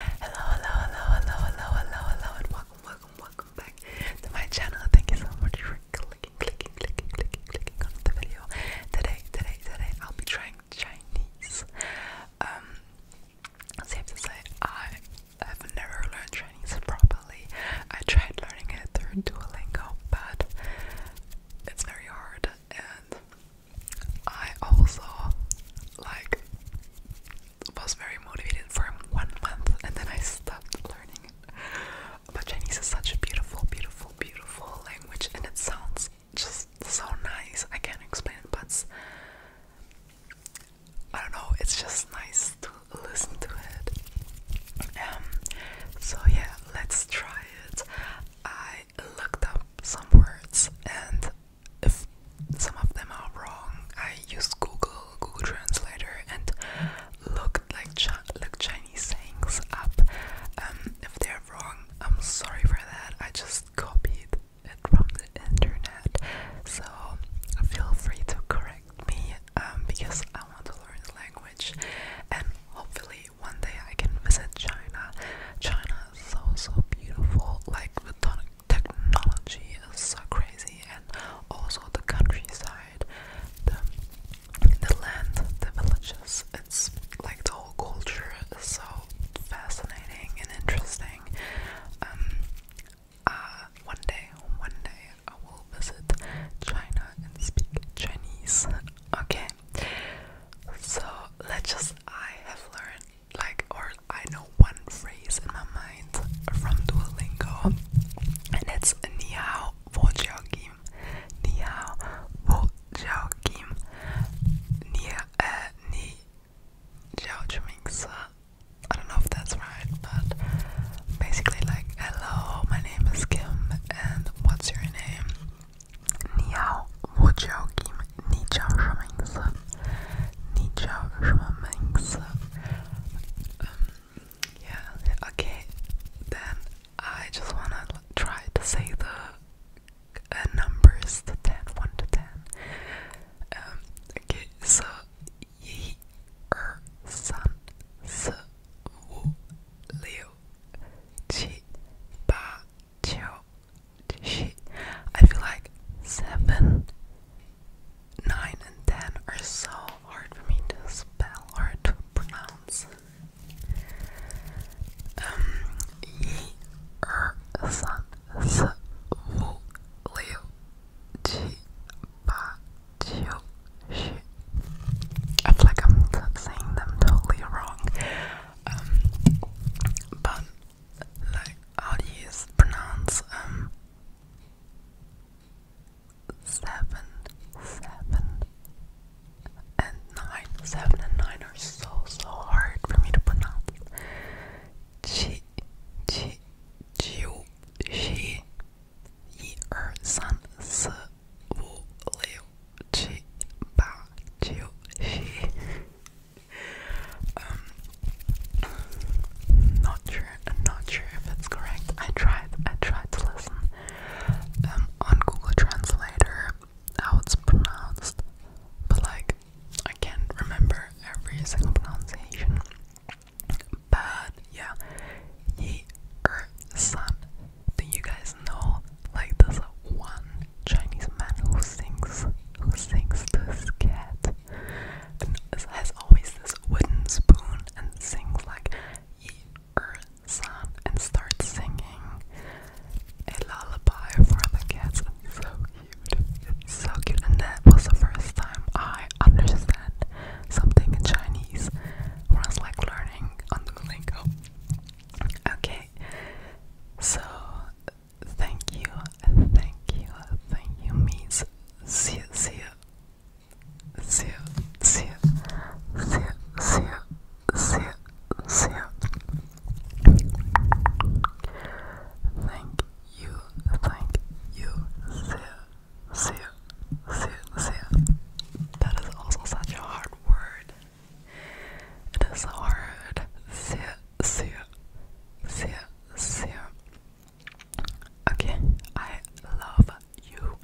Hello, hello, hello, hello, hello, hello, hello, and welcome, welcome, welcome back to my channel. Thank you so much for clicking, clicking, clicking, clicking, clicking on the video. Today, today, today, I'll be trying Chinese. Um, safe to say, I have never learned Chinese properly. I tried learning it through Duolingo, but it's very hard, and I also like was very motivated for one month and then I stopped learning it. But Chinese is such a beautiful, beautiful, beautiful language and it sounds just so nice. I can't explain it, but I don't know, it's just nice to listen to it. Um, so yeah, let's try it. I looked up some words and if some of them are wrong, I used Google, Google Translator, and looked like Ch look Chinese sayings up. Um, if they're wrong, I'm sorry for that. I just copied it from the internet, so feel free to correct me um, because I want to learn the language, and hopefully one day I can visit China. China is so so beautiful, like the tonic technology is so crazy, and also the countryside, the the land, the villages. It's like the whole culture is so fascinating and interesting. Um, uh, one day, one day I will visit China and speak Chinese. Okay, so let's just. I have learned like or I know one phrase in my mind from Duolingo and it's Ni hao wo jiao kim Ni hao wo jiao kim Ni uh ni jiao chimingsa I don't know if that's right but basically like hello my name is Kim and what's your name Ni wo jiao kim 你叫什么名字？你叫什么名字？Um, yeah, okay. Then I just wanna try to say the uh, numbers, the ten, one to ten. Um, okay, so yi er san se wu liu qi I feel like seven, nine, and ten are so hard for me to spell or to pronounce. Um, ye er san s wu ji ba jiu shi. I feel like I'm saying them totally wrong. Um, but like how do you pronounce um, seven seven and nine seven and nine are so so hard for me to pronounce chi um, not sure. i not sure if it's correct. I tried. I tried to listen um, on Google Translator how it's pronounced, but like I can't remember every single pronunciation. But yeah, ye er san. Do you guys know like this one Chinese man who sings who sings this cat? and it has always this wooden spoon and sings like Ye Er San and starts singing a lullaby for the cats. It's so cute. so cute. And that was the first time I understand something in Chinese was like learning on Duolingo. Okay, so Thank you, thank you, thank you, Miss. See you, see you, see you, see you, see you, see you, see you, Thank you, thank you, see you, see you, see you, see you. That is also such a hard word. It is hard. See you, see you, see you. So, okay, I love you.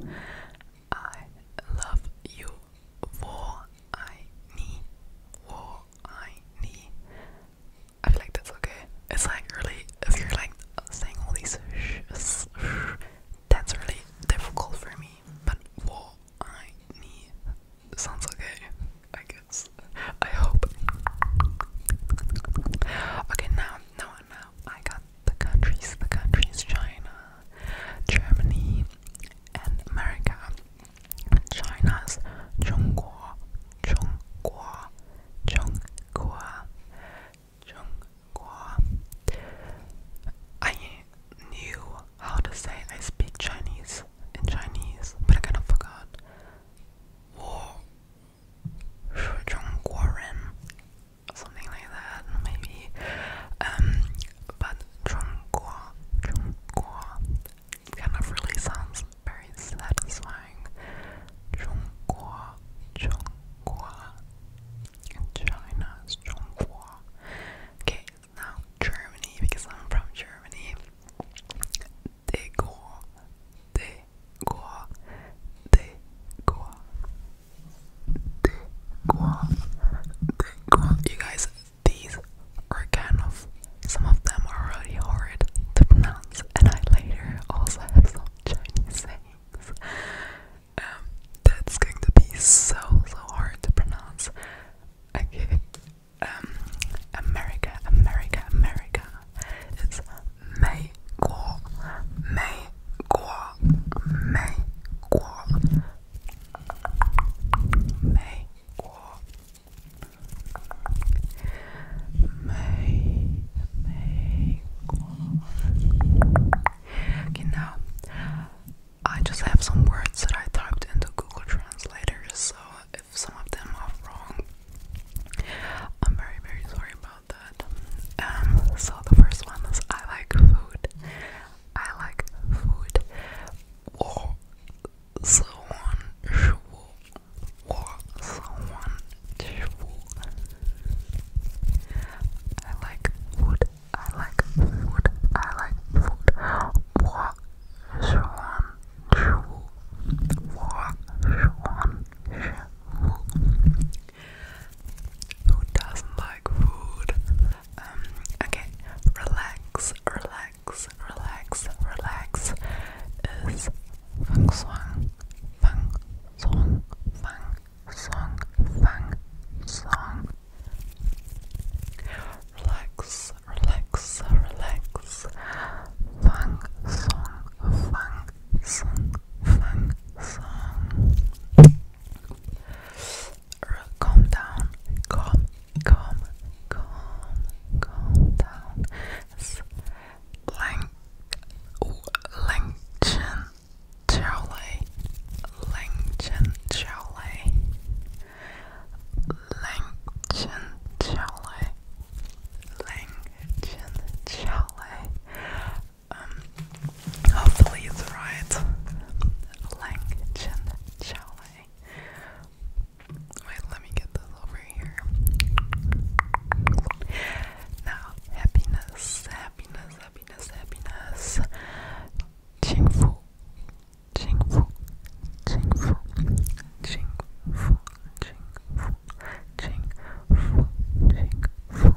I love you. For I need. For I need. I feel like that's okay. It's like really, if you're like saying all these sh, that's really difficult for me. But for I need sounds okay. Like I hope. Okay, now, now, now, I got the countries, the countries, China, Germany, and America. China's Zhongguo, Zhongguo, Zhongguo, Zhongguo. I knew how to say I speak Chinese in Chinese, but I kind of forgot. 我是中国人 something like that maybe um but 中国中国 kind of really sounds very satisfying 中国中国 in China is 中国 okay now Germany because I'm from Germany des gros, des gros, des gros, You guys, these are some of them are really hard to pronounce, and I later also have some Chinese sayings. Um, that's going to be so so hard to pronounce. Okay, um, America, America, America. It's May Guo, May Guo, May Guo, May Guo, May, May Guo. Okay, now I just have some words that I typed into Google Translator, so if some of them are wrong. I'm very, very sorry about that. Um, so the first one is I like food. I like food. I like food. I like food. I like food. Swan, Shu, War, Swan, Shu. Who doesn't like food? Um, okay, relax, relax, relax, relax is Fang Song, Fang Song, Fang Song, Fang Song. Relax, relax, relax. Fang song, fang song, fang song. Calm down, calm, calm, calm, calm down. Lang, Langchen, Charlie, Langchen, Charlie. Langenschale, Langenschale. Um, hopefully it's right. Langenschale. Wait, let me get this over here. Now, happiness, happiness, happiness, happiness ching, ching, fu, ching, fu,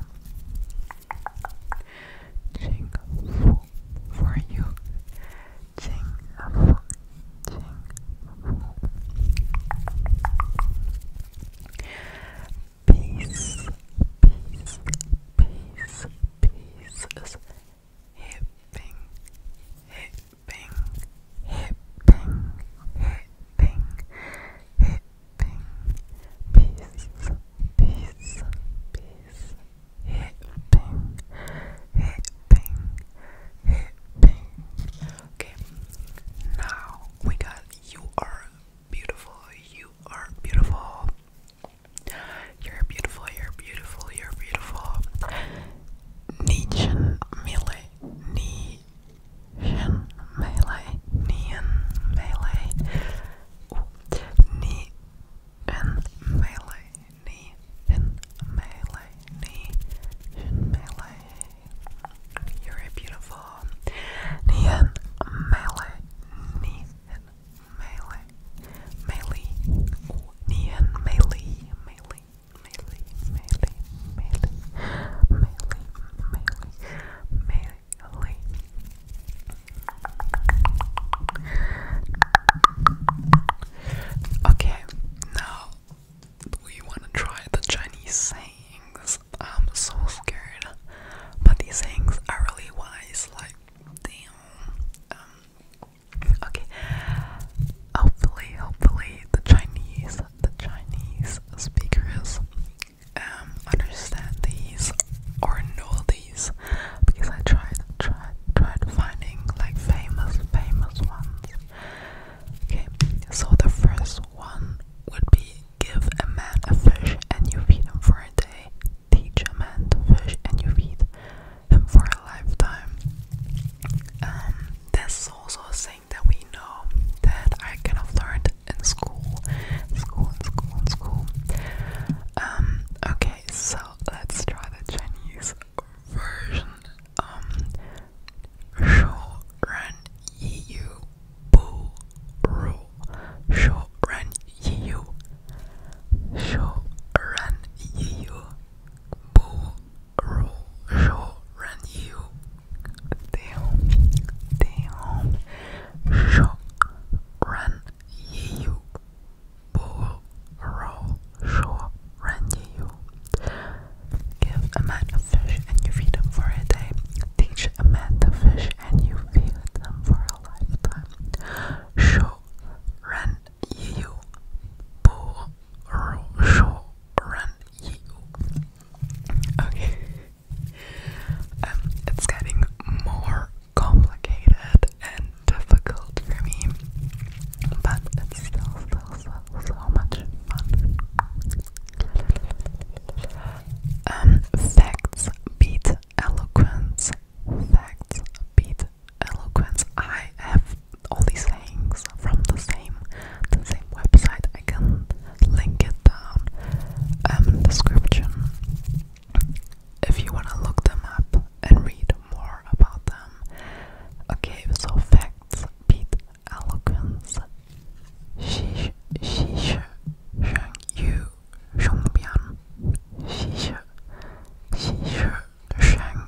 ching, fu, for you, ching, fu, ching, fu. Peace, peace, peace, peace is hipping, hipping ping, hip ping, hip ping, hip ping, peace, peace, peace, hip ping, hip ping, hip ping. Okay, now we got you are beautiful, you are beautiful. You're beautiful, you're beautiful, you're beautiful. Nietzschean melee, Nietzschean melee, Nietzschean melee, Nietzschean melee, Nietzschean melee, Nietzschean melee. You're a beautiful Nietzschean melee, Nietzschean melee, melee, Nietzschean melee, melee. Melee, melee, melee, melee, melee, melee. Okay, now we wanna try the Chinese sayings. I'm so scared, but these sayings are really wise. Like, damn, um, Okay. Hopefully, hopefully the Chinese, the Chinese speakers um understand these or know these because I tried tried tried finding like famous famous ones. Okay, so the first one would be give a man a fish and you feed him for a day. Teach a man to fish and you feed for a lifetime. Um, this is also a thing that we know that I kind of learned in school, school, school, school. Um, okay, so let's try the Chinese version. Um, shou ran yu bu ru, shou ran yu, shou ran yu bu Yo ran you Damn Damn Yo ran you Bull roll Yo ran you Give a man a fish and you feed him for a day. Teach a man to fish and you feed them for a lifetime. Show ran you bull Okay. Um, it's getting more complicated and difficult for me, but it's still, still, still so much fun. Um, facts beat eloquence. Facts beat eloquence. I have all these things from the same the same website. I can link it down um, in the description if you wanna look them up and read more about them. Okay, so facts beat eloquence. Xi Xi Yu Xongbian Xi Xi Shang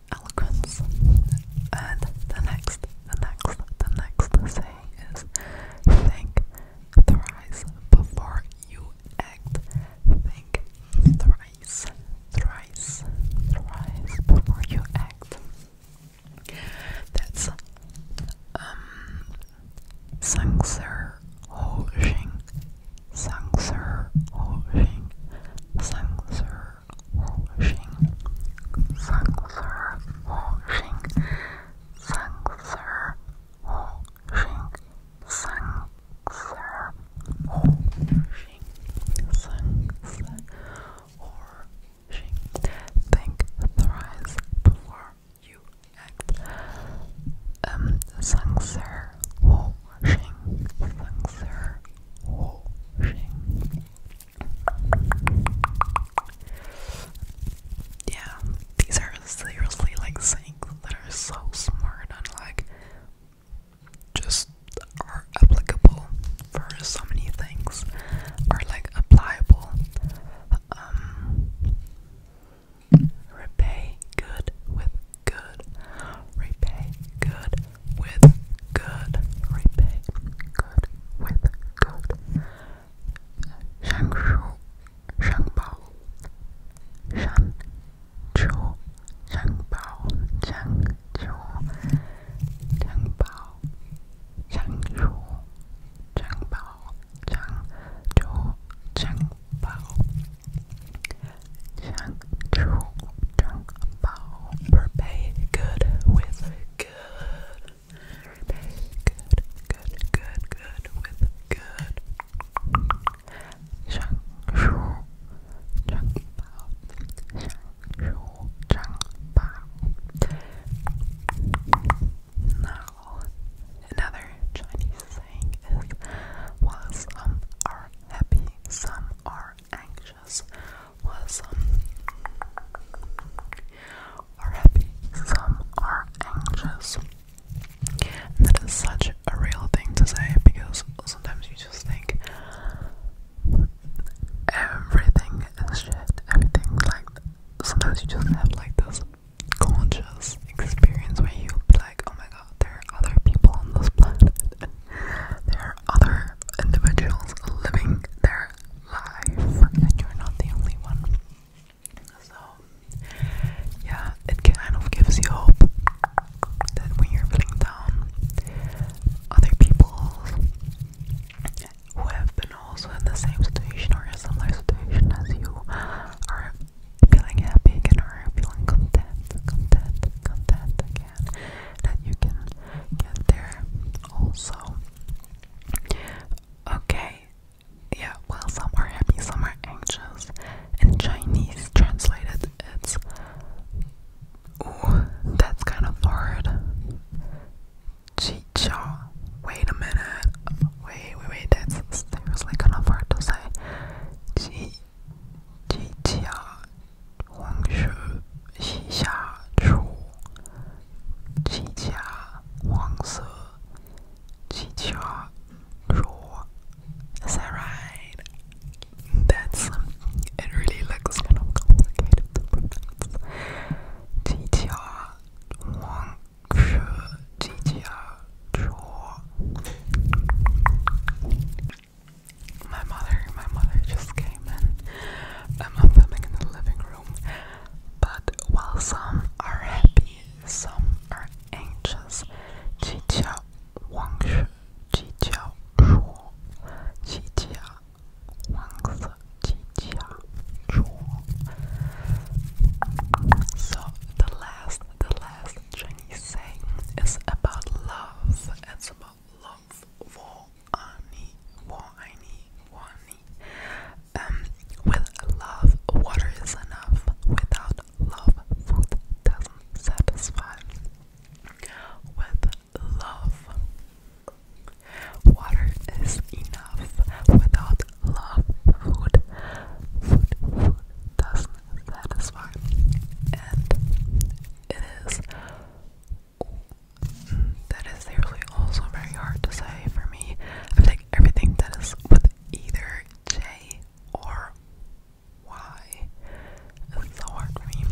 eloquence. And the next, the next, the next saying is think thrice before you act. Think thrice, thrice, thrice before you act. That's um Sangser Ho Jing Sangser Ho 火星，三个字儿火星，三个字儿火星，三个字儿火星，三个字火星。Think thrice before you act. Um, 三个字儿火星，三个字儿火星。yeah, these are seriously like things that are so smart and like just are applicable for so many things, are like applicable. Um, repay good with good, repay good with good repay. Good with good. Shangshu, Shangbao, Shanchu, Shangbao, Shanchu, Shangbao, Shangshu, Shangbao, Shanchu, Shangbao, Shanchu, Shangbao. Repay good with good. Good, good, good, good, with good. Shang Shu Chang Bao. Shang another Chinese saying is while some are happy, some are anxious was um, are happy, some are anxious. that is such a real thing to say because sometimes you just think everything is shit, everything like sometimes you just have like this conscious experience where you be like, oh my god, there are other people on this planet. there are other individuals living their life and you're not the only one. So, yeah, it kind of gives you hope that when you're feeling down, other people who have been also in the same situation or a similar situation as you are feeling happy again or feeling content can that you can get there also. Okay, yeah, well some are happy, some are anxious. In Chinese translated it's Ooh, that's kind of hard. Chi cha wait a minute. Wait, wait, wait, that's seriously kind of hard to say. Chi Chi Chia 黄学西夏楚，齐家黄色，齐家 raw. Is that right? That's um, it. Really looks kind of complicated to pronounce. 齐家黄学齐家楚。my mother, my mother just came in. Um, I'm filming in the living room. But while some are happy, some are anxious. Jia Wang Jia Jia Wang so the last the last Chinese saying is about love. It's about love. Um, with love, water is enough. Without love, food doesn't satisfy. With love, water is enough. Without love, food, food, food doesn't satisfy. And it is that is seriously also very hard to say for me. I take everything that is with either J or Y. It's me.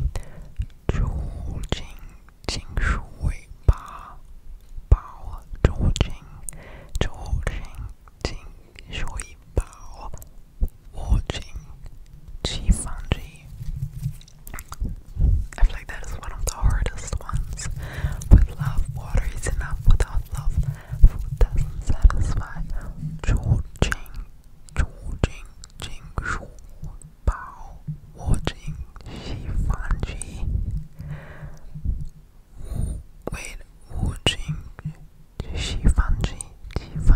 Zhu Jing Jing Shui Ba Bao Zhu Jing Zhu Jing Jing Shui Bao Wu Jing Qi Fan Ji I feel like that is one of the hardest ones. With love, water is enough. Without love, food doesn't satisfy. Chu Ching, Chu Bao, Wo Jing, Xi Fan Ji. Wu,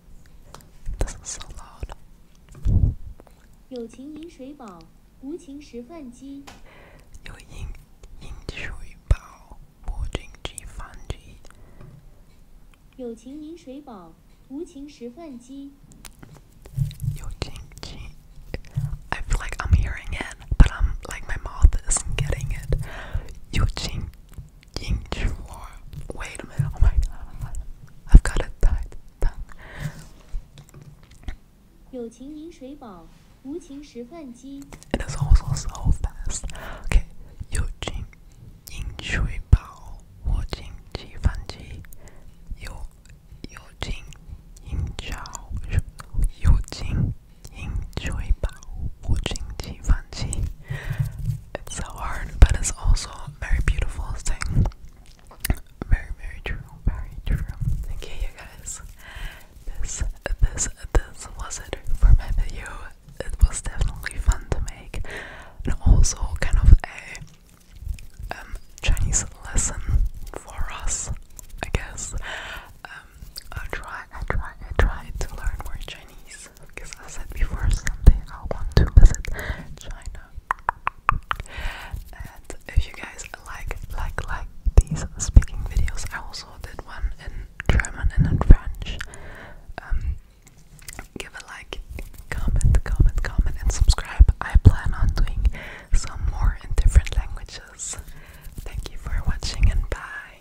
This is so loud. 有情饮水饱，无情食饭饥。有饮饮水饱，无情吃饭饥。有情饮水饱，无情食饭饥。有情吃，I feel like I'm hearing it, but I'm like my mouth isn't getting it. 有情 Yingchuan. Wait a minute. Oh my god. I've got a tight tongue. It is also so fast. Okay. You Jing Ying Shui Bao Wu Jing Ji Fan Ji You You Jing Ying Chao You Jing Ying Shui Bao Wu Jing Ji Fan Ji it's so hard, but it's also a very beautiful thing. Very, very true. Very true. Okay, you guys. This, this, this was it for my video. It was definitely fun to make, and also kind of a um, Chinese lesson for us, I guess. Um, I try, I try, I try to learn more Chinese because I said before someday I want to visit China. And if you guys like like like these speaking videos, I also did one in German and in French. Um, give a like, comment, comment, comment, and subscribe. I plan on doing some more in different languages. Thank you for watching and bye.